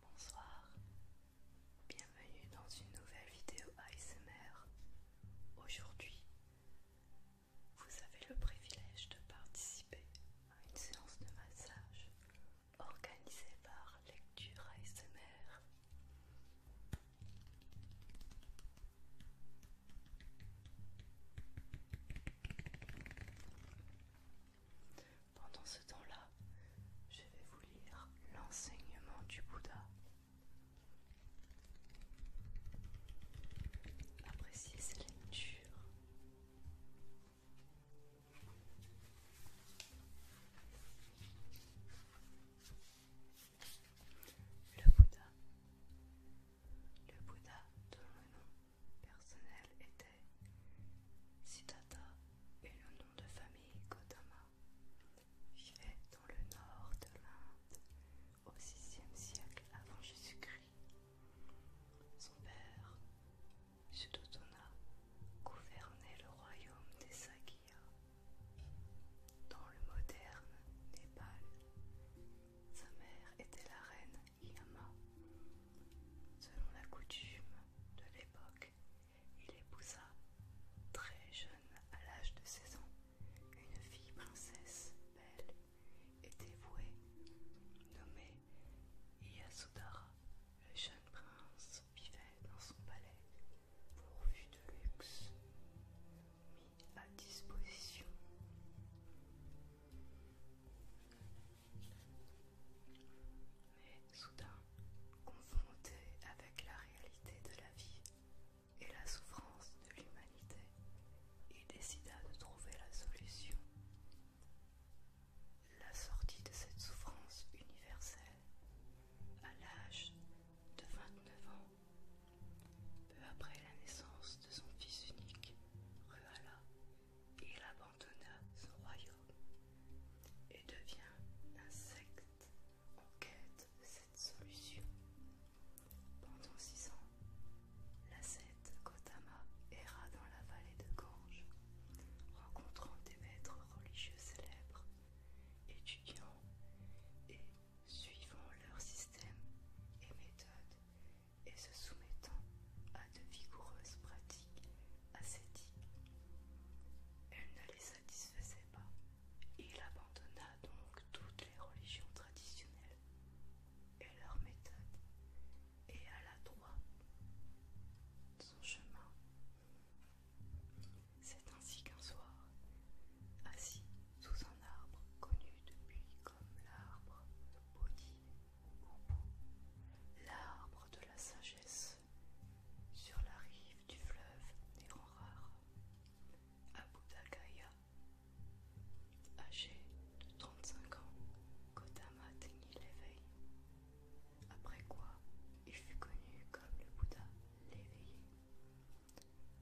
Bonsoir, bienvenue dans une nouvelle vidéo ASMR. Aujourd'hui, vous avez le privilège de participer à une séance de massage organisée par Lecture ASMR. Pendant ce temps-là, je vais vous lire l'enseignement du Bouddha. Appréciez cette lecture. Le Bouddha. Le Bouddha, donne le nom personnel était Siddhata et le nom de famille Gautama vivait dans le nord de l'Inde au 6e siècle avant Jésus-Christ. Son père, Suddhodana, gouvernait le royaume des Sagya Dans le moderne Népal, sa mère était la reine Yama, Selon la coutume de l'époque, il épousa, très jeune à l'âge de 16 ans, une fille princesse belle et dévouée, nommée Iyasudara. Le jeune prince vivait dans son palais, pourvu de luxe, mis à disposition. Mais soudain, confronté avec la réalité de la vie et la souffrance de l'humanité, il décida de trouver la solution. La sortie de cette souffrance universelle à l'âge de 29 ans, peu après la naissance de son fils unique, Ruala il abandonna son royaume et devient un secte en quête de cette solution. Pendant six ans, secte Gotama erra dans la vallée de Gange, rencontrant des maîtres religieux célèbres, étudiant et suivant leurs systèmes et méthodes et se soumettant à de vigoureuses pratiques ascétiques. Elle ne les satisfaisait pas. Il abandonna donc toutes les religions traditionnelles et leurs méthodes et alla droit son chemin. C'est ainsi qu'un soir, assis sous un arbre connu depuis comme l'arbre de Bodhi ou L'arbre de la sagesse sur la rive du fleuve à Abudakaya, âgé de 35 ans, Gautama atteignit l'éveil, après quoi il fut connu comme le Bouddha l'éveillé.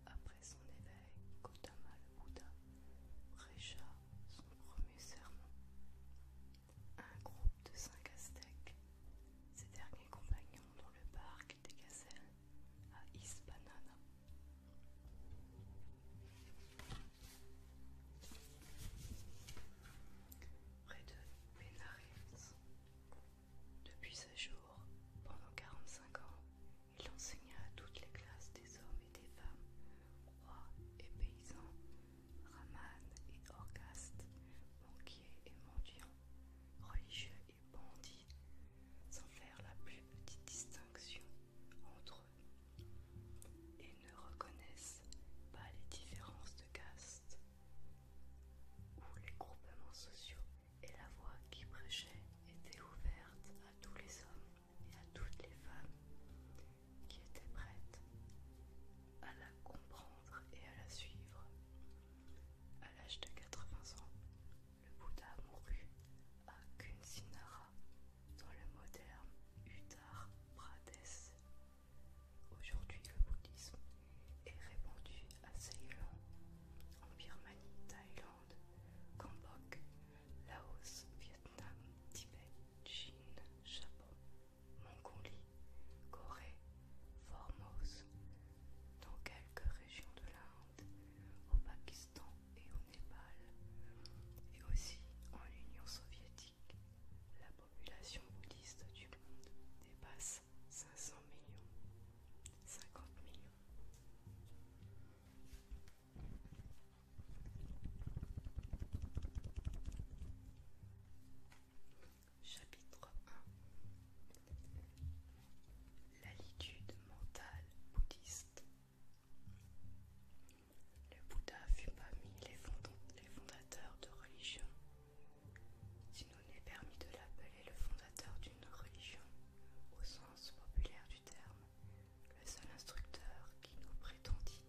Après son éveil, Gautama le Bouddha prêcha son premier serment un groupe de cinq aztèques, ses derniers compagnons dans le parc des gazelles à Hispanana. Près de Benares. Depuis ce jour, pendant 45 ans, il enseigna à toutes les classes des hommes et des femmes, rois et paysans, Raman et Orgaste, banquier et mendiant, religieux et bandits, sans faire la plus petite distinction entre eux, et ne reconnaissent pas les différences de caste, ou les groupements sociaux et la voix qui prêchait était ouverte à tous les hommes et à toutes les femmes, qui était prête à la comprendre et à la suivre. À l'âge de 80 ans, le Bouddha mourut à Kunsinara, dans le moderne Uttar Pradesh. Aujourd'hui, le bouddhisme est répandu à Ceylan, en Birmanie, Thaïlande, Cambodge, Laos, Vietnam, Tibet, Chine, Japon, Mongolie, Corée, Formose, dans quelques régions de l'Inde, au Pakistan et au Népal, et aussi en Union soviétique. La population bouddhiste du monde dépasse 500 millions, 50 millions. Chapitre 1 L'ALITUDE mentale bouddhiste Le Bouddha fut parmi les, les fondateurs de religions. Si nous n'est permis de l'appeler le fondateur d'une religion, au sens populaire du terme, le seul instructeur qui nous prétendit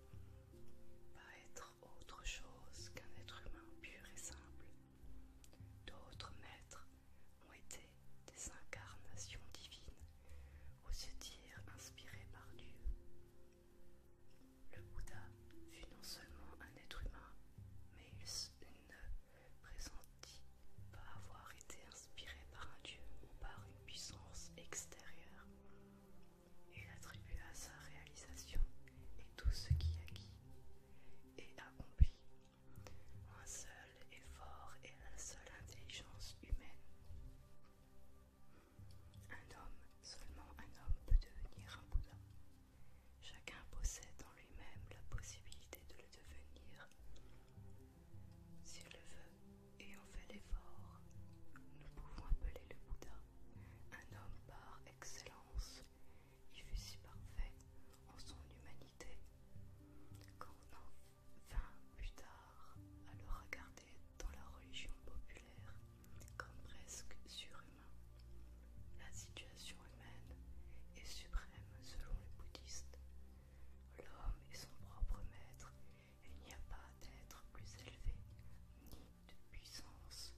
être autre chose qu'un être humain pur et simple. D'autres maîtres ont été des incarnations divines, ou se dire inspirées par Dieu. Le Bouddha fut non seulement un être humain, mais il ne pressentit pas avoir été inspiré par un Dieu ou par une puissance extérieure. Il à sa réalisation et tout ce qui acquis et accompli un seul effort et à la seule intelligence humaine. Un homme, seulement un homme peut devenir un Bouddha. Chacun possède en lui-même la possibilité de le devenir. S'il le veut et en fait l'effort, nous pouvons appeler le Bouddha un homme par excellence. Il fut si parfait en son humanité en vint plus tard à le regarder dans la religion populaire comme presque surhumain. La situation humaine est suprême selon les bouddhistes. L'homme est son propre maître et il n'y a pas d'être plus élevé ni de puissance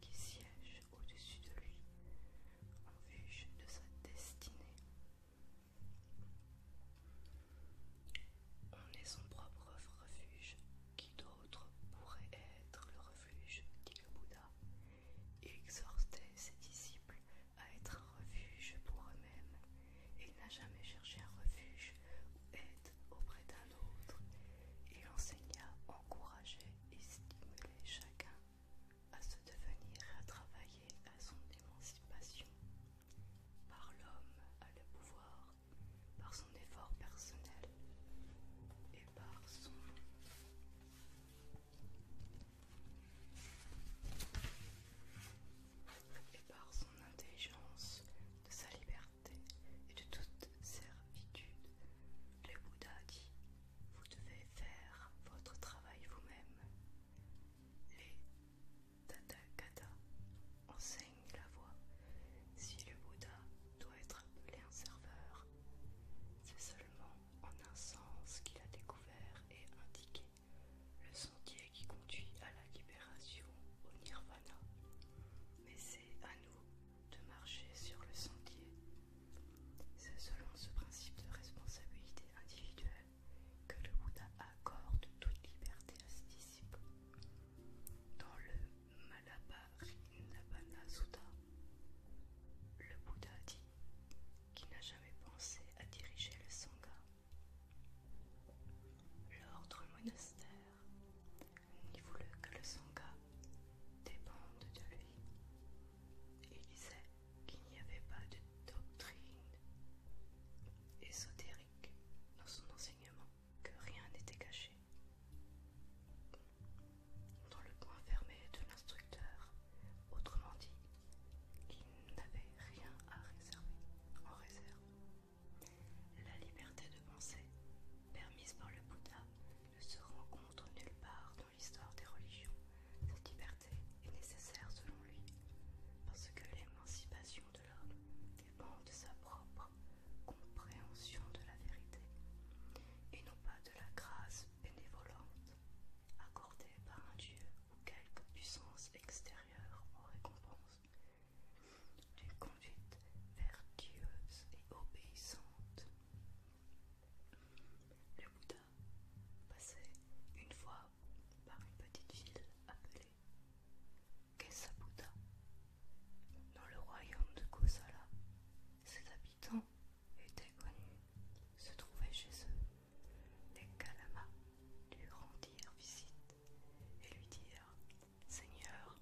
qui siège au-dessus de lui en vue de sa destinée. On est son propre refuge, qui d'autre pourrait être le refuge, dit le Bouddha. Il exhortait ses disciples à être un refuge pour eux-mêmes. Il n'a jamais cherché un refuge auprès d'un autre, il enseigna, encourager et stimulait chacun à se devenir et à travailler à son émancipation. Par l'homme à le pouvoir, par son effort personnel et par son et par son intelligence de sa liberté et de toute servitude. Le Bouddha dit Vous devez faire votre travail vous-même. Les Tathagata enseignent la voie. Si le Bouddha doit être appelé un serveur, c'est seulement en un sens qu'il a découvert et indiqué le sentier qui conduit à la libération au nirvana. Mais c'est à nous de marcher sur le sentier. C'est selon ce principe de responsabilité individuelle que le Bouddha accorde toute liberté à ses disciples. Dans le Malabarinabbana Sutta, le Bouddha dit qu'il n'a jamais pensé à diriger le Sangha. L'ordre monastère il voulait que le sangha dépende de lui. Il disait qu'il n'y avait pas de doctrine ésotérique dans son enseignement, que rien n'était caché. Dans le coin fermé de l'instructeur, autrement dit, qu'il n'avait rien à réserver en réserve. La liberté de penser, permise par le Bouddha ne se rencontre nulle part dans l'histoire des religions. Cette liberté est nécessaire selon lui, parce que l'émancipation de l'homme dépend de sa propre compréhension de la vérité, et non pas de la grâce bénévolante accordée par un Dieu ou quelque puissance extérieure en récompense vertueuse et obéissante. Le Bouddha passait une fois par une petite ville appelée Kesabuddha. Dans le royaume de Kosala, ses habitants étaient connus, se trouvaient chez eux les Kalamas lui rendirent visite et lui dirent Seigneur,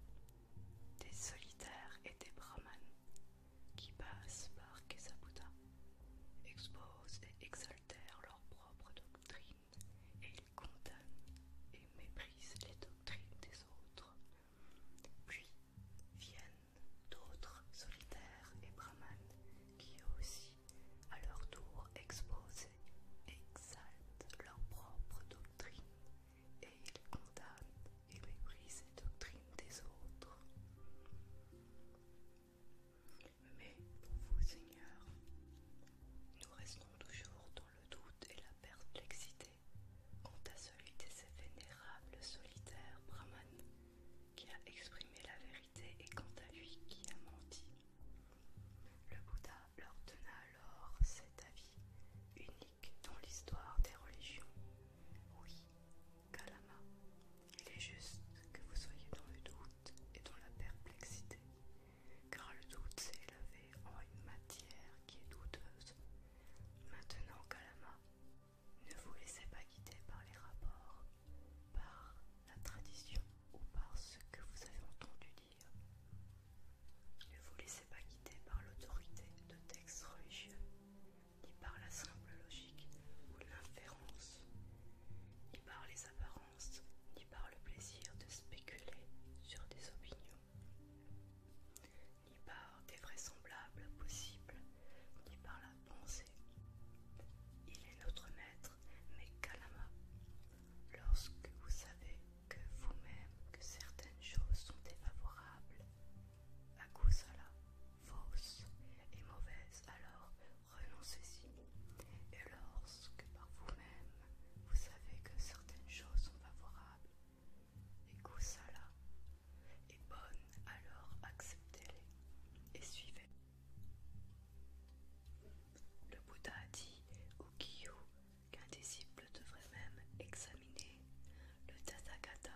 des solitaires et des brahmanes qui passent par Kesabuddha, exposent et exaltèrent leurs propres doctrines, et ils condamnent et méprisent les doctrines des autres. Puis viennent d'autres solitaires et brahmanes qui aussi, à leur tour, exposent et exaltent leurs propres doctrines, et ils condamnent et méprise les doctrines des autres. Mais pour vous, Seigneur, nous restons toujours dans le doute et la perplexité quant à celui de ces vénérables solitaires Brahman qui a exprimé la vérité et quant à lui qui a menti. Le Bouddha leur donna alors cet avis unique dans l'histoire des religions. Oui, Kalama, il est juste que vous soyez dans le doute et dans la perplexité, car le doute s'est élevé en une matière qui est douteuse. Maintenant, Kalama, ne vous laissez pas guider par les rapports, par la tradition ou par ce que vous avez entendu dire. Ne vous laissez pas guider par l'autorité de religieux, ni par la simple logique ou l'inférence, ni par les apparences, ni par le plaisir de spéculer sur des opinions, ni par des vraisemblables possibles, ni par la pensée. Il est notre maître, mais Kalama, lorsque vous savez que vous-même que certaines choses sont défavorables à fausse et mauvaise, alors renoncez-y. Et lorsque par vous-même, vous savez que certaines choses sont favorables, et goussala est bonne, alors acceptez-les et suivez. Le Bouddha a dit au Kyu qu'un disciple devrait même examiner le Tathagata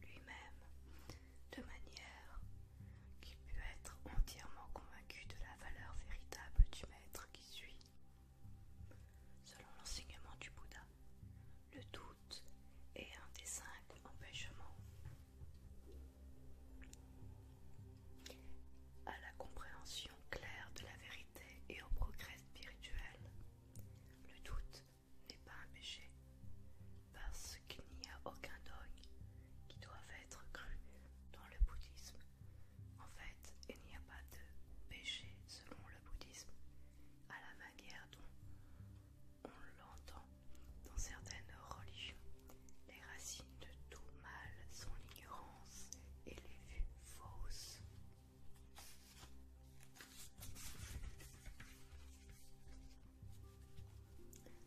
lui-même de manière qu'il peut être entièrement convaincu de la valeur véritable du maître qui suit. Selon l'enseignement du Bouddha, le doute est un des cinq empêchements à la compréhension claire de la vérité et au progrès spirituel. Le doute n'est pas un péché, parce qu'il n'y a aucun dogme qui doit être cru dans le bouddhisme. En fait, il n'y a pas de péché selon le bouddhisme, à la manière dont on l'entend dans certaines religions. Les racines de tout mal sont l'ignorance et les vues fausses.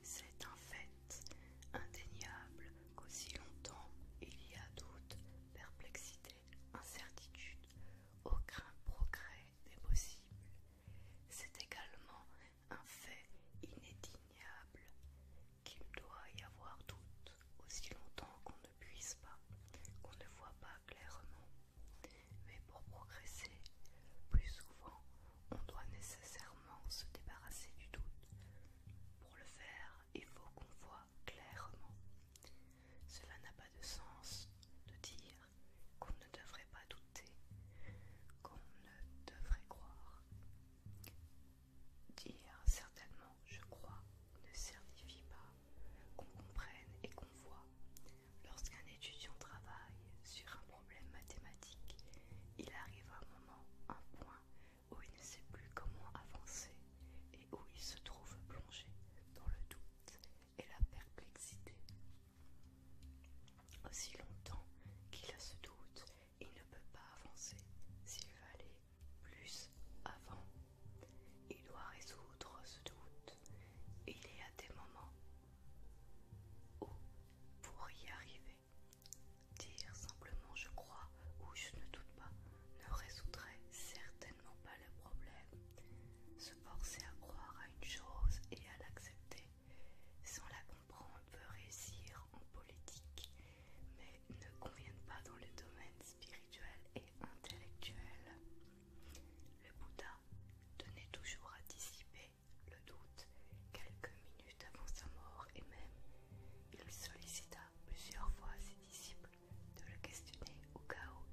C'est un fait indéniable qu'aussi longtemps il y a doute, perplexité, incertitude, aucun progrès n'est possible. C'est également un fait inédignable qu'il doit y avoir doute aussi longtemps qu'on ne puisse pas, qu'on ne voit pas clairement, mais pour progresser, plus souvent, on doit nécessairement se débarrasser du doute. Pour le faire, il faut qu'on voit clairement. Cela n'a pas de sens de dire qu'on ne devrait pas douter, qu'on ne devrait croire. Dire certainement je crois ne signifie pas qu'on comprenne et qu'on voit. Lorsqu'un étudiant travaille sur un problème mathématique, il arrive à un moment, un point, où il ne sait plus comment avancer et où il se trouve plongé dans le doute et la perplexité. Aussi longtemps qu'il a ce doute, il ne peut pas avancer s'il va aller plus avant il doit résoudre ce doute. Il y a des moments où, pour y arriver, dire simplement je crois ou je ne doute pas ne résoudrait certainement pas le problème. Se forcer à croire à une chose et à l'accepter sans la comprendre peut réussir en politique, mais ne convient pas dans le domaine spirituel et intellectuel. Le Bouddha tenait toujours à dissiper le doute quelques minutes avant sa mort et même il sollicita plusieurs fois ses disciples de le questionner au cas où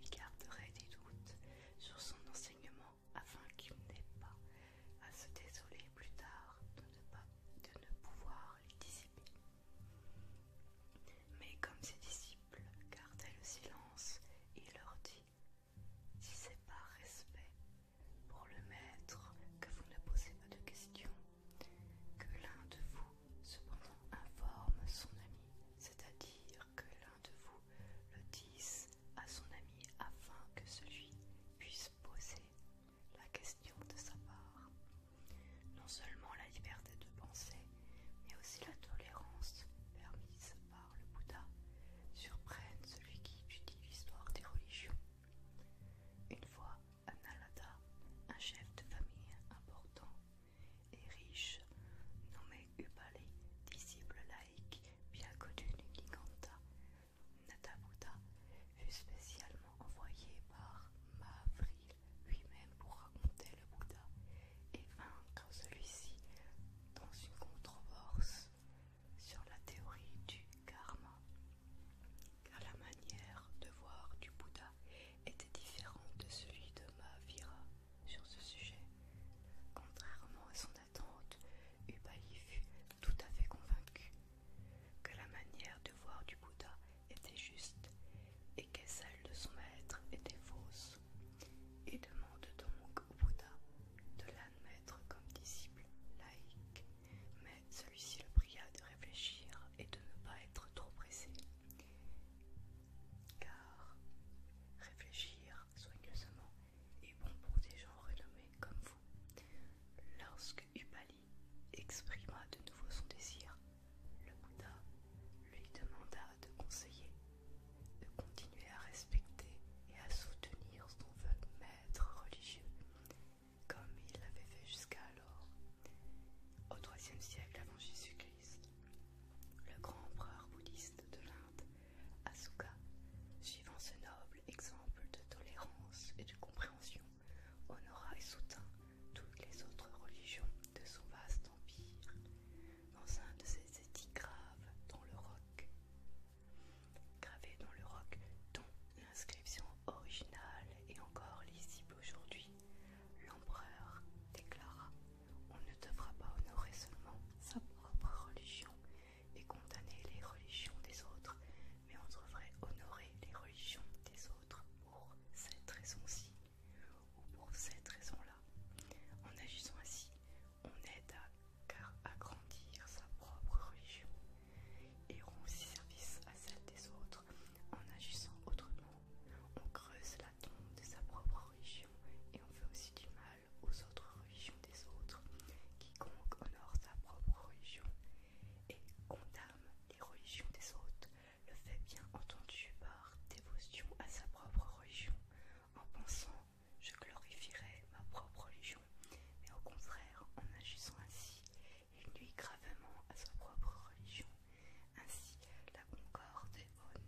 il garderait des doutes sur son enseignement afin qu'il n'ait pas à se désoler plus tard de ne pouvoir les dissiper. Mais comme ses disciples gardaient le silence, il leur dit Si c'est par respect pour le Maître que vous ne posez pas de questions, que l'un de vous cependant informe son ami, c'est-à-dire que l'un de vous le dise à son ami afin que celui puisse poser la question de sa part. Non seulement la liberté de penser, mais aussi la tolérance permise par le Bouddha surprennent celui qui étudie l'histoire des religions. Une fois, Analada, un chef de famille important et riche, nommé Upali, disciple laïque bien connu du Giganta, Bouddha fut spécialement envoyé par Mahavril lui-même pour raconter le Bouddha et vaincre celui-ci dans une controverse sur la théorie du karma, car la manière de voir du Bouddha était différente de celui de Mahavira sur ce sujet. Contrairement à son attente, Ubaï fut tout à fait convaincu que la manière de voir du Bouddha était juste et que celle de son maître était fausse, et demande donc au Bouddha de l'admettre comme disciple laïque. Mais celui-ci le pria de réfléchir et de ne pas être trop pressé, car réfléchir soigneusement est bon pour des gens renommés comme vous. Lorsque Upali exprima de nouveau son désir, le Bouddha lui demanda de conseiller de continuer à respecter et à soutenir son maître religieux comme il l'avait fait jusqu'alors. Au IIIe siècle avant Jésus-Christ, le grand empereur bouddhiste de l'Inde, Asuka, suivant ce noble exemple de tolérance et de compréhension, honora et soutint toutes les autres religions de son vaste empire dans un de ces édits graves dans le roc, Gravé dans le roc, dont l'inscription originale est encore lisible aujourd'hui. L'empereur déclara On ne devra pas honorer seulement sa propre religion et condamner les religions des autres, mais on devrait honorer les religions des autres pour cette raison-ci ou pour cette raison-là. En agissant ainsi, on aide à, à grandir sa propre religion et rend aussi service à celle des autres. En agissant autrement, on creuse la tombe de sa propre religion et on fait aussi du mal aux autres religions des autres. Quiconque honore sa propre religion et condamne les religions des autres le fait bien entendu par dévotion à sa propre religion en pensant, je glorifierai ma propre religion, mais au contraire, en agissant ainsi, il nuit gravement à sa propre religion. Ainsi, la concorde est bonne,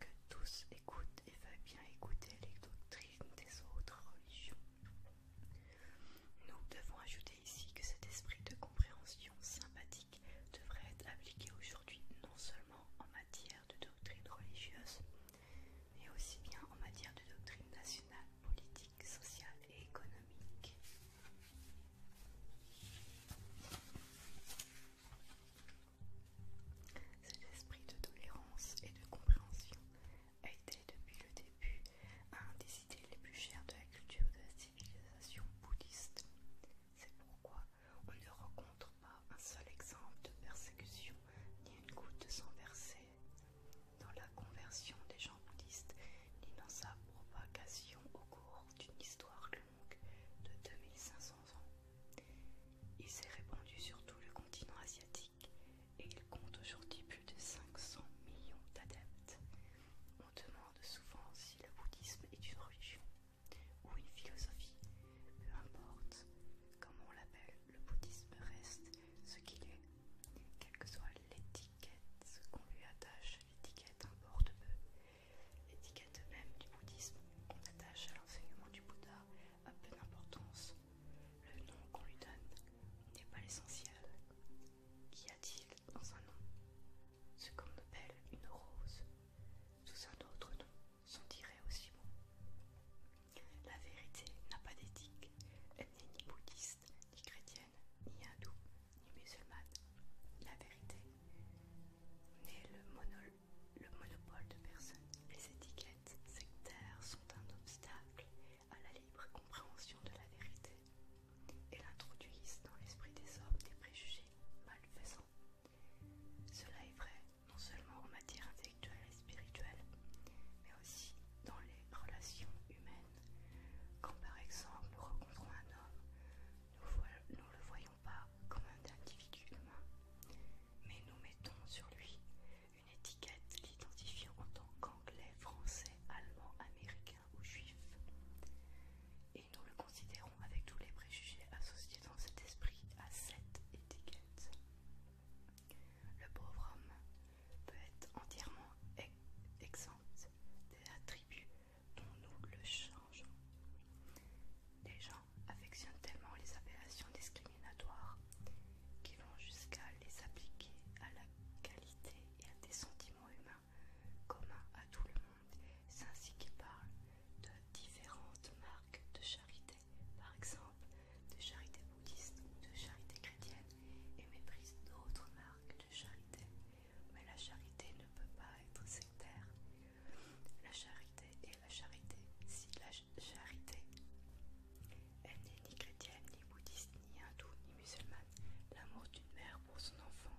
que tous écoutent et veulent bien écouter les doctrines des autres religions. Nous devons ajouter ici que cet esprit de compréhension sympathique devrait être appliqué aujourd'hui non seulement en matière de doctrine religieuse, mais aussi bien en matière de doctrine nationale, politique, sociale et économique. Cet esprit de tolérance et de compréhension a été depuis le début un des idées les plus chères de la culture de la civilisation bouddhiste. C'est pourquoi on ne rencontre pas un seul exemple de persécution ni une goutte sans sang versée. Dans la conversion des gens bouddhistes, ni dans sa propagation au cours d'une histoire longue de 2500 ans. Il s'est répandu sur tout le continent asiatique et il compte aujourd'hui plus de 500 millions d'adeptes. On demande souvent si le bouddhisme est une religion ou une philosophie, peu importe comment on l'appelle, le bouddhisme reste ce qu'il est. Quelle que soit l'étiquette qu'on lui attache, l'étiquette importe peu. L'étiquette même du bouddhisme qu'on attache à l'enseignement du Bouddha a peu d'importance. Le nom qu'on lui donne n'est pas l'essentiel. Qu'y a-t-il dans un nom Ce qu'on appelle une rose, sous un autre nom, dirait aussi bon. La vérité n'a pas d'éthique, elle n'est ni bouddhiste, ni chrétienne, ni hindoue, ni musulmane. La vérité n'est le, le monopole de personne. Les étiquettes sectaires sont un obstacle à la libre compréhension de la vérité. Elles introduisent dans l'esprit des hommes des préjugés malfaisants cela est vrai non seulement en matière intellectuelle et spirituelle, mais aussi dans les relations humaines. Quand par exemple nous rencontrons un homme, nous ne le voyons pas comme un individu humain, mais nous mettons sur lui une étiquette l'identifiant en tant qu'anglais, français, allemand, américain ou juif. Et nous le considérons avec tous les préjugés associés dans cet esprit à cette le pauvre homme peut être entièrement exempt des attributs dont nous le changeons. Les gens affectionnent tellement les appellations discriminatoires qu'ils vont jusqu'à les appliquer à la qualité et à des sentiments humains communs à tout le monde. C'est ainsi qu'ils parlent de différentes marques de charité par exemple de charité bouddhiste ou de charité chrétienne, et méprise d'autres marques de charité. Mais la charité ne peut pas être sectaire. La charité est la charité. Si la charité, elle n'est ni chrétienne, ni bouddhiste, ni hindoue, ni musulmane, l'amour d'une mère pour son enfant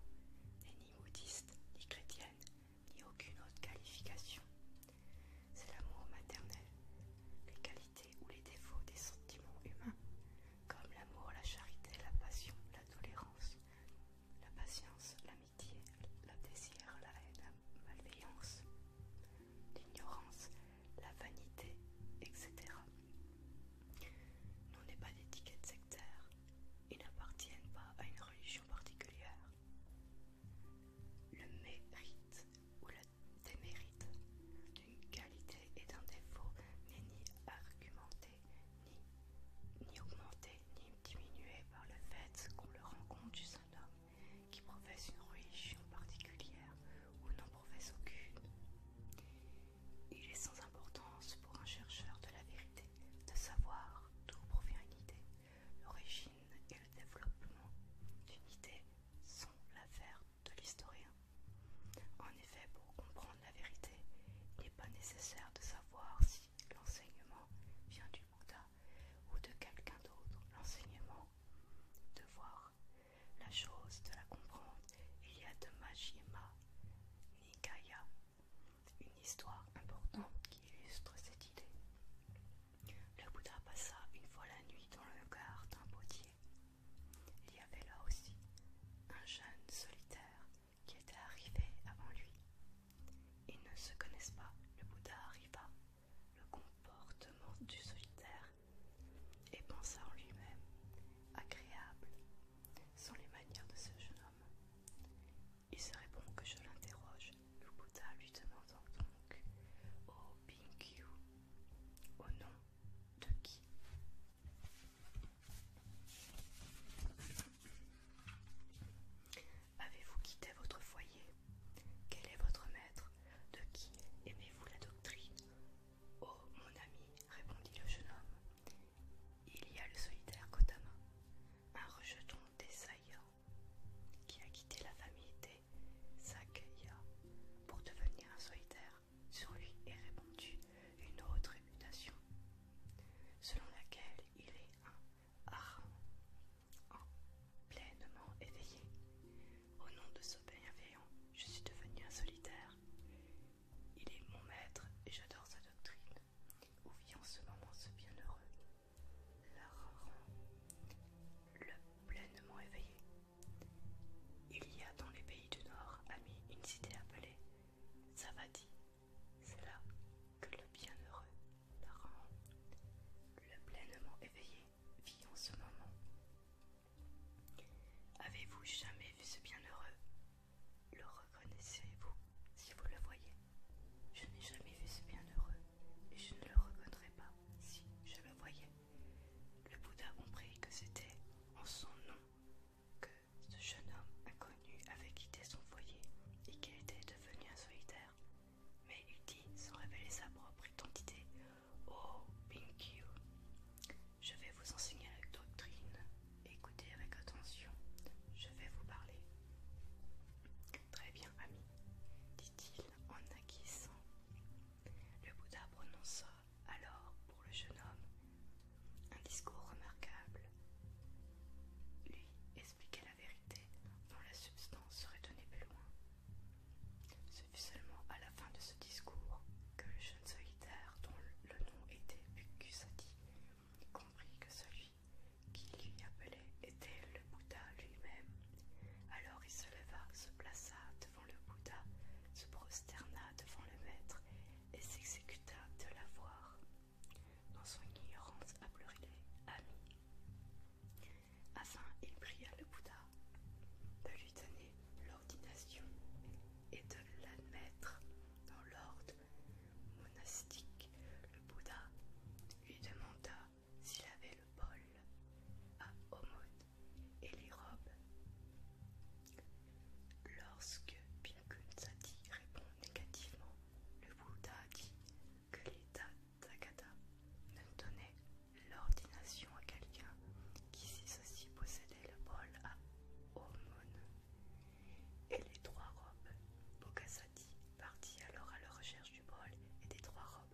n'est ni bouddhiste, ni chrétienne, ni aucune autre qualification. C'est l'amour maternel, les qualités ou les défauts des sentiments humains, comme l'amour, la charité, la passion, la tolérance, la patience, l'amitié, le désir, la haine, la malveillance, l'ignorance, la vanité, etc. N'ont n'est pas d'étiquette sectaire et n'appartiennent pas à une religion particulière le mérite ou le démérite d'une qualité et d'un défaut n'est ni argumenté, ni, augmenté, ni diminué par le fait qu'on le rencontre chez un homme qui professe une religion particulière ou n'en professe aucune. Il est sans importance pour un chercheur de la vérité de savoir d'où provient une idée, L'origine et le développement d'une idée sont l'affaire de l'historien. En effet, pour comprendre la vérité, il n'est pas nécessaire de savoir si l'enseignement vient du Bouddha ou de quelqu'un d'autre. L'enseignement, de voir la chose, de la comprendre. Il y a de Majjhima Nikaya, une histoire importante qui illustre cette idée. Le Bouddha passa une fois la nuit dans le garde d'un potier. Il y avait là aussi un jeune solitaire qui était arrivé avant lui. Ils ne se connaissent pas. Le Bouddha arriva. Le comportement du solitaire et pensa en lui-même, agréable, sont les manières de ce jeune homme. Il serait bon que je l'interroge le lui demandant donc au Bingyu au nom de qui Avez-vous quitté votre foyer Quel est votre maître De qui aimez-vous la doctrine Oh mon ami, répondit le jeune homme, il y a le solitaire Kotama, un rejeton des saillants qui a quitté la famille des s'accueilla pour devenir un solitaire. Sur lui est répandue une haute réputation, selon laquelle il est un harangue pleinement éveillé. Au nom de ce bienveillant, je suis devenu un solitaire. Il est mon maître et j'adore sa doctrine. Où en ce moment ce bienheureux le pleinement éveillé. Il y a dans les pays du Nord, amis, une cité appelée Savadi. C'est là que le bienheureux Laran, le pleinement éveillé, vit en ce moment. Avez-vous jamais vu ce bienheureux Le reconnaissez-vous si vous le voyez je n'ai jamais vu ce bienheureux, et je ne le reconnaîtrais pas si je le voyais. Le Bouddha comprit que c'était en son nom que ce jeune homme inconnu avait quitté son foyer et qu'il était devenu un solitaire. Mais il dit, sans révéler sa propre identité, Oh, Pinkyu, je vais vous enseigner la doctrine. Écoutez avec attention, je vais vous parler. Très bien, ami, dit-il en acquiesçant. Le Bouddha prononça alors pour le jeune homme un discours remarquable. Lui expliquait la vérité dont la substance serait donnée plus loin. Ce fut seulement à la fin de ce discours que le jeune solitaire dont le nom était Bukusati comprit que celui qui lui appelait était le Bouddha lui-même. Alors il se leva, se plaça devant le Bouddha, se prosterna devant le maître et s'exécuta de la voir. Dans son ignorance les ami. Afin, il pria le Bouddha de lui donner l'ordination et de l'admettre dans l'ordre monastique. Le Bouddha lui demanda s'il avait le bol à aumône et les robes. Lorsque Pinkun répond négativement, le Bouddha dit que l'état Dagata ne donnait l'ordination à quelqu'un qui, si ceci possédait le bol à aumône et les trois robes. Bokasati partit alors à la recherche du bol et des trois robes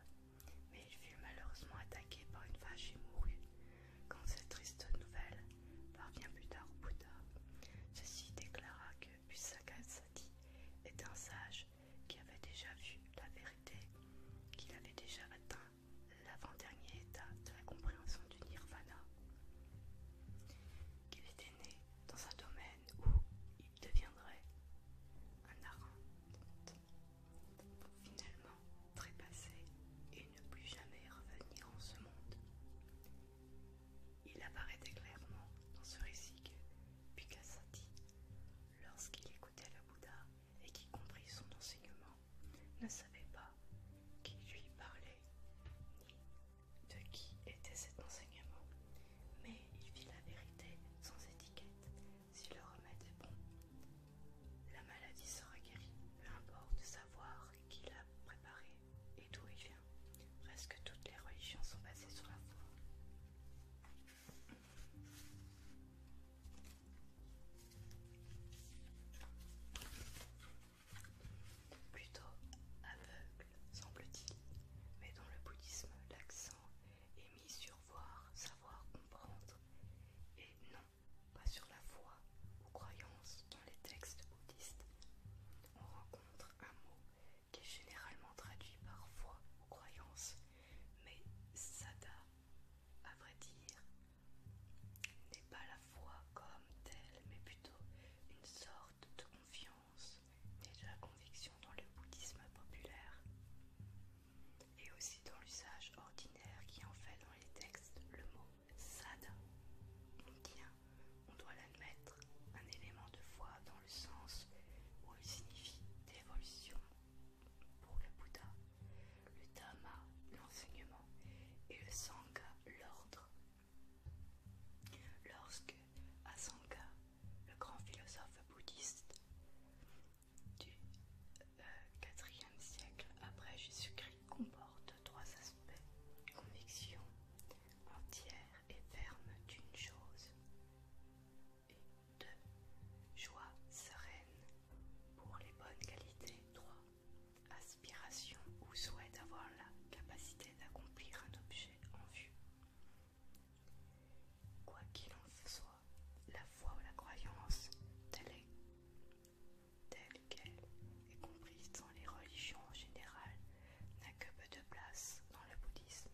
mais il fut malheureusement attaqué par une vache et mourut. Quand cette triste nouvelle parvient plus tard au Bouddha, ceci déclara que Sati était un sage qui avait déjà vu la vérité, qu'il avait déjà atteint l'avant-dernier état de la compréhension du nirvana, qu'il était né dans un domaine où il deviendrait un arente, pour finalement trépasser et ne plus jamais revenir en ce monde. Il apparaît clairement dans ce récit que Sati, lorsqu'il écoutait le Bouddha et qui comprit son enseignement, ne savait pas qui lui parlait ni de qui était cet enseignement mais il vit la vérité sans étiquette. Si le remède est bon, la maladie sera guérie. peu importe savoir qui l'a préparé et d'où il vient. Presque toutes les religions sont basées sur la foi. Plutôt aveugle, semble-t-il, mais dans le bouddhisme, l'accent et est mis sur voir, savoir, comprendre, et non pas sur la foi ou croyance dans les textes bouddhistes. On rencontre un mot qui est généralement traduit par foi ou croyance, mais sada, à vrai dire, n'est pas la foi comme telle, mais plutôt une sorte de confiance et de la conviction dans le bouddhisme populaire et aussi dans l'usage ordinaire qui en fait dans les textes le mot sada on doit l'admettre, un élément de foi dans le sens où il signifie dévolution pour le Bouddha, le Dhamma, l'enseignement et le Sangha, l'ordre. Lorsque Sangha le grand philosophe bouddhiste du euh, IVe siècle après Jésus-Christ, comporte trois aspects conviction entière et ferme d'une chose, et deux joie sereine pour les bonnes qualités, trois aspiration ou souhait d'avoir la capacité d'accomplir un objet en vue. Quoi qu'il en soit, la foi ou la croyance, telle qu'elle est comprise dans les religions en général, n'a que peu de place dans le bouddhisme.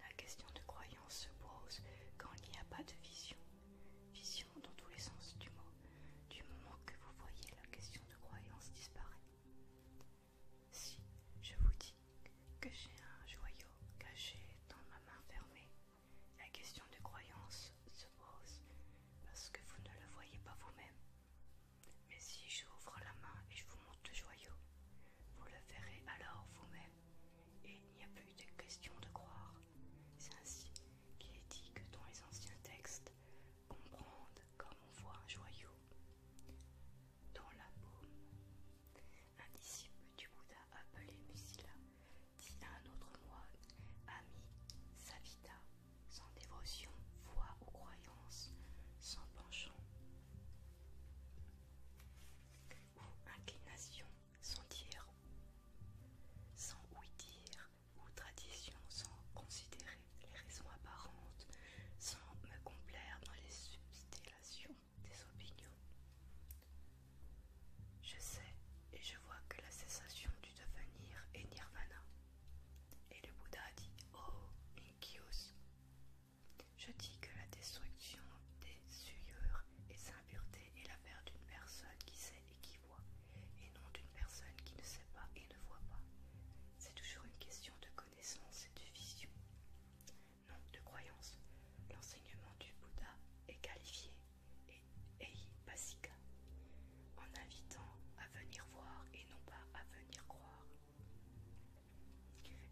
La question de croyance se pose quand il n'y a pas de vision, vision dans tous les sens du mot. Du moment que vous voyez, la question de croyance disparaît. Si je vous dis que j'ai un joyau caché dans ma main fermée, la question de croyance se pose parce que vous ne le voyez pas vous-même. Mais si j'ouvre la main et je vous montre le joyau, vous le verrez alors vous-même et il n'y a plus de question de croire. C'est ainsi qu'il est dit que dans les anciens textes, comprendre comme on voit un joyau dans la paume. Un disciple du Bouddha appelé Musila dit à un autre moine Ami, Savita, sans dévotion, foi ou croyance, sans penchant ou inclination, sans dire, sans ouï-dire ou tradition, sans considérer les raisons apparentes, sans me complaire dans les substellations des opinions. Je sais et je vois que la cessation du devenir est nirvana. Et le Bouddha dit Oh, Inkyos. Je dis que la destruction des souillures et sa impureté est l'affaire d'une personne qui sait et qui voit, et non d'une personne qui ne sait pas et ne voit pas. C'est toujours une question de connaissance et de vision de croyance, l'enseignement du Bouddha est qualifié et Eipasika, en invitant à venir voir et non pas à venir croire.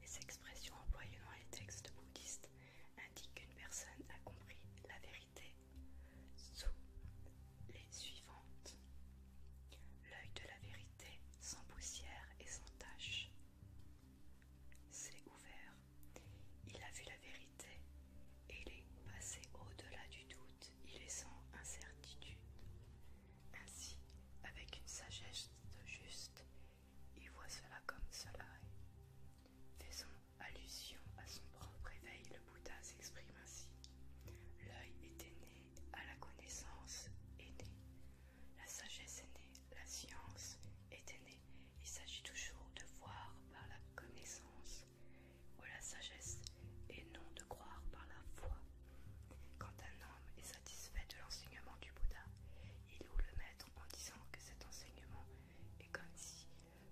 Les expressions employées dans les textes bouddhistes indiquent qu'une personne a compris la vérité sous les suivantes. L'œil de la vérité sans poussière et sans tache. C'est ouvert. Il a vu la vérité il est passé au-delà du doute. Il est sans incertitude. Ainsi, avec une sagesse juste, il voit cela comme cela est. Faisant allusion à son propre éveil, le Bouddha s'exprime ainsi. L'œil était né à la connaissance, est né la sagesse est née, la science est née. Il s'agit toujours de voir par la connaissance ou la sagesse et non de croire par la foi. Quand un homme est satisfait de l'enseignement du Bouddha, il loue le maître en disant que cet enseignement est comme si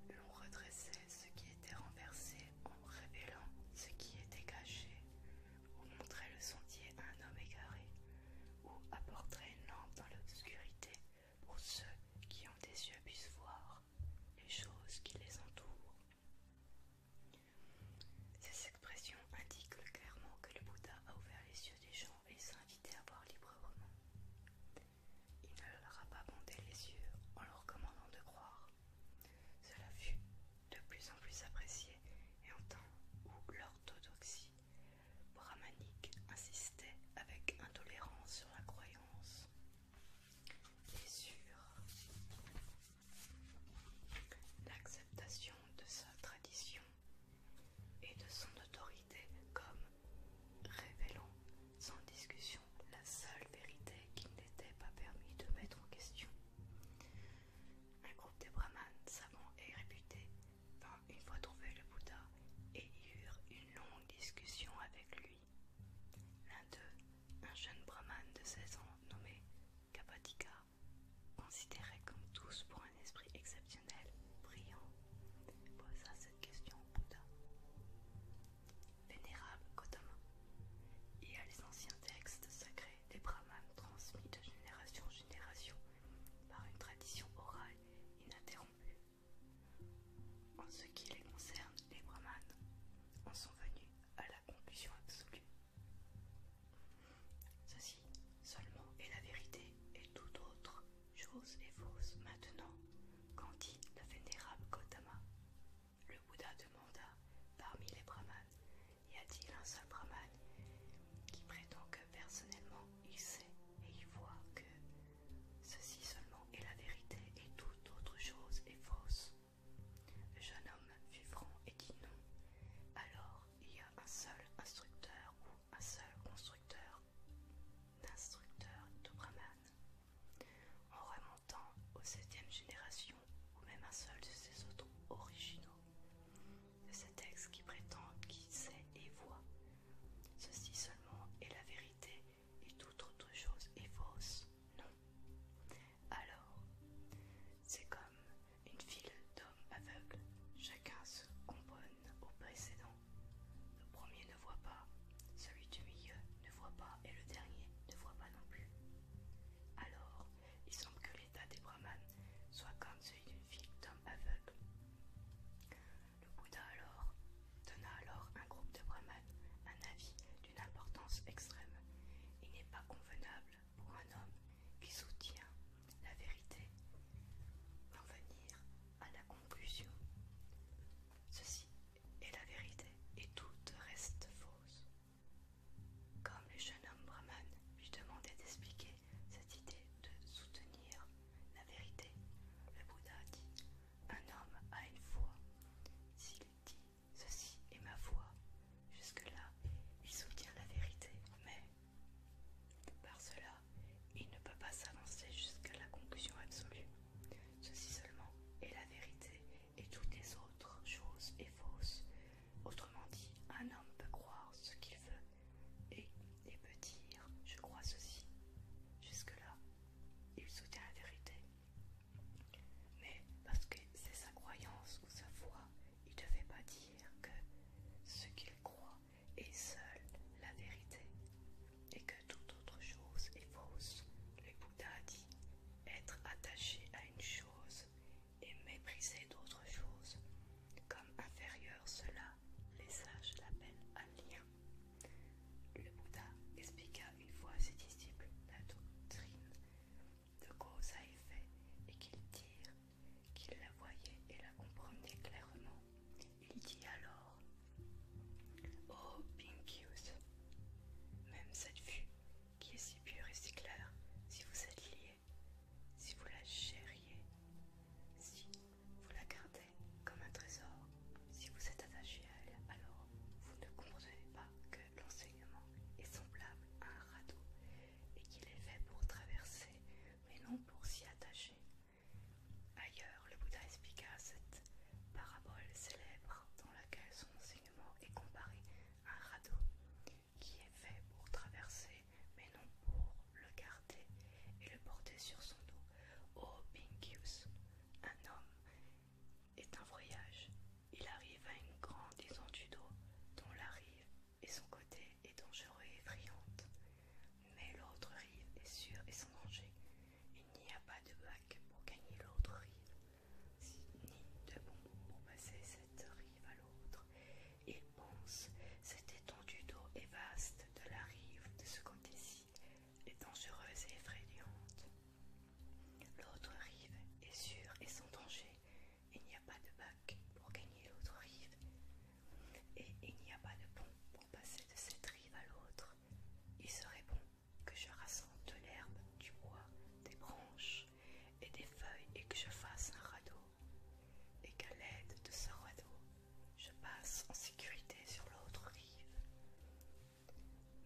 l'on redressait ce qui était renversé en révélant ce qui était caché, ou montrait le sentier à un homme égaré, ou apporter une lampe dans l'obscurité pour ceux qui ont des yeux puissent voir les choses qui les entourent. Ces expressions indiquent clairement que le Bouddha a ouvert les yeux des gens et les a à voir librement. Il ne leur a pas bondé les yeux en leur commandant de croire. Cela fut de plus en plus apprécié et entend ou l'orthodoxie Brahmanique insistait avec intolérance sur la croyance et sur l'acceptation de sa tradition et de son autorité comme révélant sans discussion la seule vérité qu'il n'était pas permis de mettre en question. Un groupe des brahmanes savants et réputés une fois trouvé le Bouddha et y eurent une longue discussion avec lui. L'un d'eux, un jeune brahmane de 16 ans nommé Kapatika, considéré comme tous pour un esprit exceptionnel, brillant, posa cette question au Bouddha. Vénérable Gautama, il y a les anciens textes sacrés des brahmanes transmis de génération en génération par une tradition orale ininterrompue. En ce qui les concerne, les brahmanes en sont venus à la conclusion absolue. Ceci seulement est la vérité et tout autre chose est fausse maintenant, quand dit le vénérable Gautama. Le Bouddha demanda parmi les brahmanes, y a-t-il un seul brahman qui prétend que personnellement il sait et il voit que ceci seulement est la vérité et toute autre chose est fausse. Le jeune homme fut franc et dit non. Alors il y a un seul instructeur ou un seul constructeur d'instructeurs de Brahman. En remontant aux septième génération ou même un seul de ces autres originaux, de ce texte qui prétend qu'il sait et voit Ceci seulement est la vérité et toute autre chose est fausse. Non. Alors, c'est comme une file d'hommes aveugles. Chacun se componne au précédent. Le premier ne voit pas, celui du milieu ne voit pas et le dernier ne voit pas non plus. Alors, il semble que l'état des brahmanes soit comme celui d'une file d'hommes aveugles. Le Bouddha alors donna alors un groupe de brahmanes un avis d'une importance extrême. Il n'est pas convenable pour un homme qui soutient la vérité d'en venir à la conclusion. Ceci est la vérité et tout reste fausse. Comme le jeune homme brahman lui demandait d'expliquer cette idée de soutenir la vérité. Le Bouddha dit Un homme a une foi. S'il dit Ceci est ma foi, jusque-là, il soutient la vérité, mais par cela, il ne peut pas s'avancer jusqu'à la conclusion absolue. Ceci seulement est la vérité et toutes les autres choses sont fausses. Autrement dit, un homme peut croire ce qu'il veut et, il peut dire « je crois ceci ». Jusque-là, il soutient la vérité. Mais parce que c'est sa croyance ou sa foi, il ne devait pas dire que ce qu'il croit est seul la vérité et que toute autre chose est fausse. Le Bouddha a dit être attaché à une chose et mépriser d'autres choses comme inférieur, cela, les sages l'appellent un lien. Le Bouddha expliqua une fois à ses disciples la doctrine de cause à effet et qu'ils dirent qu'ils la voyaient et la comprenaient clairement. Il dit alors Oh Pinkius, même cette vue qui est si pure et si claire, si vous êtes lié, si vous la chériez, si vous la gardez comme un trésor. Si vous êtes attaché à elle, alors vous ne comprenez pas que l'enseignement est semblable à un radeau et qu'il est fait pour traverser, mais non pour s'y attacher. Ailleurs, le Bouddha expliqua cette parabole célèbre dans laquelle son enseignement est comparé à un radeau qui est fait pour traverser mais non pour le garder et le porter sur son dos. Oh, Pinkyus, un homme est un voyage. Il arrive à une grande étendue d'eau dont la rive et son côté est dangereux et effrayante. Mais l'autre rive est sûre et sans danger. Il n'y a pas de bac pour gagner l'autre rive, ni de bonbons pour passer cette rive à l'autre. Il pense cette étendue d'eau est vaste de la rive de ce côté-ci est dangereuse et effrayante. L'autre rive est sûre et sans danger. Il n'y a pas de bac pour gagner l'autre rive et il n'y a pas de pont pour passer de cette rive à l'autre. Il serait bon que je rassemble de l'herbe, du bois, des branches et des feuilles et que je fasse un radeau et qu'à l'aide de ce radeau, je passe en sécurité sur l'autre rive.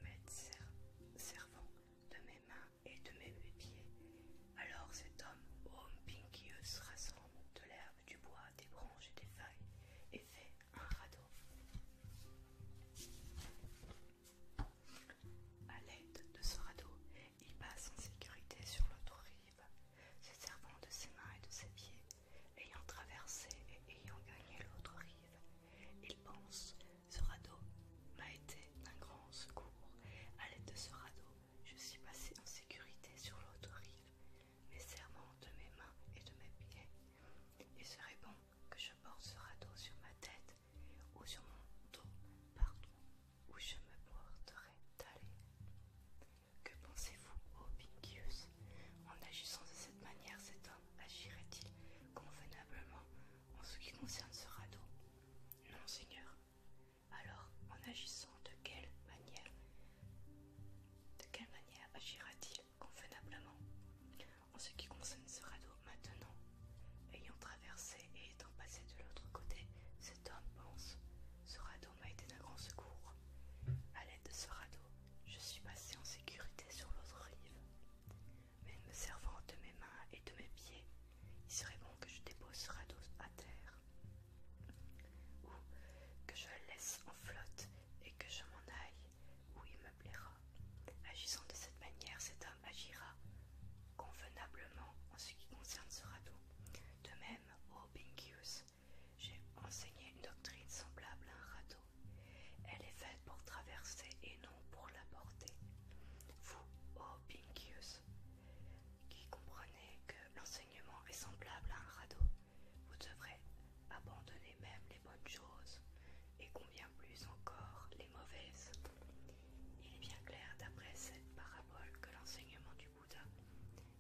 M'être servant de mes mains et de mes pieds, alors cet homme, homme se rassemble de l'herbe, du bois, des branches et des feuilles et fait un radeau. À l'aide de ce radeau, il passe en sécurité sur l'autre rive se servant de ses mains et de ses pieds, ayant traversé et ayant gagné l'autre rive, il pense ce radeau m'a été d'un grand secours. À l'aide de ce radeau, je suis passé en sécurité sur l'autre rive, mais servant de mes mains et de mes pieds. Il serait bon que je porte ce radeau sur ma tête ou sur mon dos, partout où je me porterai d'aller. Que pensez-vous, ô En agissant de cette manière, cet homme agirait-il convenablement en ce qui concerne ce radeau Non, Seigneur. Alors, en agissant de quelle manière De quelle manière agira-t-il convenablement En ce qui concerne ce radeau maintenant, ayant traversé et étant passé de l'autre côté, cet homme pense ce radeau m'a été d'un grand secours. Hmm. À l'aide de ce radeau, je suis passé en sécurité sur l'autre rive. Mais me servant de mes mains et de mes pieds, il serait bon que je dépose ce radeau à terre. Ou que je le laisse en flotte et que je m'en aille où il me plaira. Agissant de cette manière, cet homme agira convenablement en ce qui concerne ce radeau. De même, au Bingus. J'ai enseigné une doctrine semblable à un radeau. Elle est faite pour traverser et non pour la porter. Vous, ô Pincius, qui comprenez que l'enseignement est semblable à un radeau, vous devrez abandonner même les bonnes choses et combien plus encore les mauvaises. Il est bien clair d'après cette parabole que l'enseignement du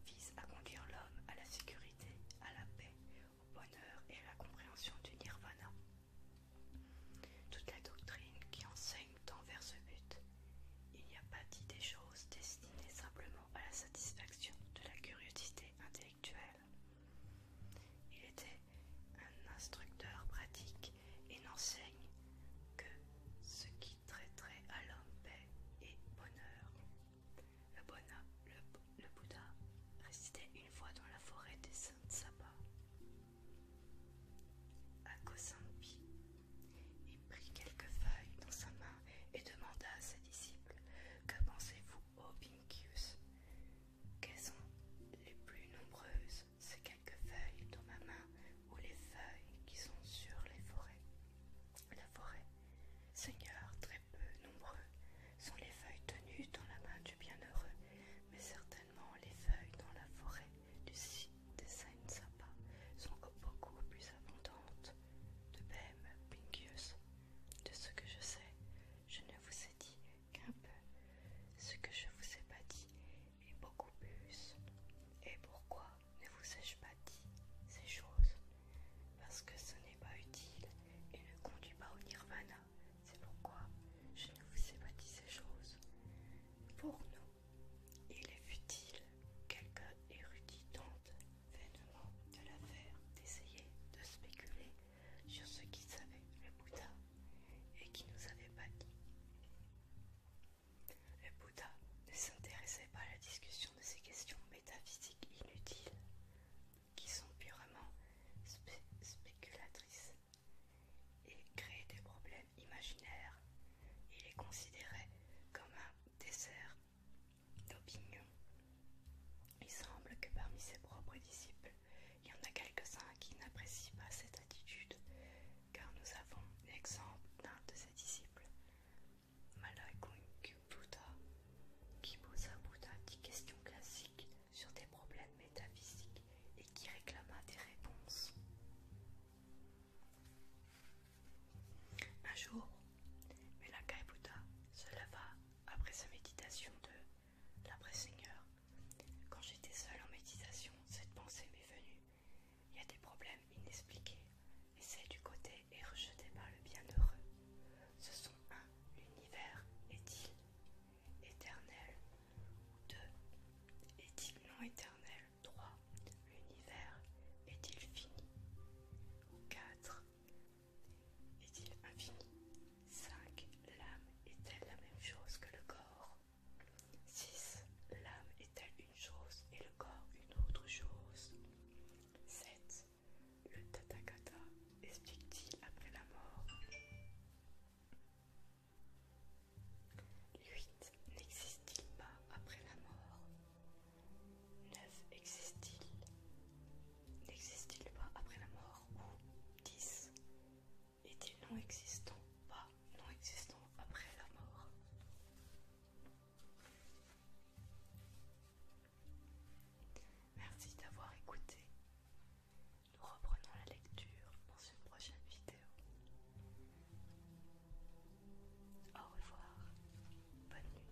vise à conduire l'homme à la sécurité, à la paix, au bonheur et à la compréhension du nirvana. Toute la doctrine qui enseigne tend vers ce but. Il n'y a pas dit des choses destinées simplement à la satisfaction de la curiosité intellectuelle. Il était un instructeur pratique et n'enseigne que ce qui traiterait à l'homme paix et bonheur. Le, Bouddha résidait une fois dans la forêt des Saintes Saba, à Kosambi. Il prit quelques feuilles dans sa main et demanda à ses disciples Que pensez-vous, ô Vincus Quelles sont les plus nombreuses, ces quelques feuilles dans ma main ou les feuilles qui sont sur les forêts, la forêt Seigneur, très peu nombreux sont les feuilles tenues dans la main du bienheureux, mais certainement les feuilles dans la forêt du site des Saint-Sapa sont beaucoup plus abondantes. De même, Pinkius, de ce que je sais, je ne vous ai dit qu'un peu. Ce que je vous ai pas dit est beaucoup plus. Et pourquoi ne vous ai-je pas dit ces choses Parce que ce n'est pas utile et ne conduit pas au nirvana. C'est pourquoi je ne vous ai pas dit ces choses. Pour nous, il est futile, quelque érudit tente vainement de l'affaire d'essayer de spéculer sur ce qu'il savait le Bouddha et qui nous avait pas dit. Le Bouddha ne s'intéressait pas à la discussion de ces questions métaphysiques inutiles qui sont purement spéculatrices et créent des problèmes imaginaires. Il est considéré comme un dessert d'opinion. Il semble que parmi ses propres disciples, il y en a quelques-uns qui n'apprécient pas cette attitude, car nous avons l'exemple d'un de ses disciples, Malaikun Buddha qui posa à Buddha questions classiques sur des problèmes métaphysiques et qui réclama des réponses. Un jour, Melakai Buddha se leva après sa méditation de l'après Seigneur. Quand j'étais seul en méditation, cette pensée m'est venue. Il y a des problèmes inexpliqués c'est du côté et rejeté par le bienheureux. Ce sont 1. L'univers est-il éternel 2. Est-il non éternel 3. L'univers est-il fini 4. Est-il infini 5. L'âme est-elle la même chose que le corps 6. L'âme est-elle une chose et le corps une autre chose 7. Le TATAKATA explique-t-il après la mort 8. n'existe-t-il pas après la mort 9. existe-t-il N'existe-t-il pas après la mort Ou 10 est-il non existant Pas non existant après la mort Merci d'avoir écouté. Nous reprenons la lecture dans une prochaine vidéo. Au revoir. Bonne nuit.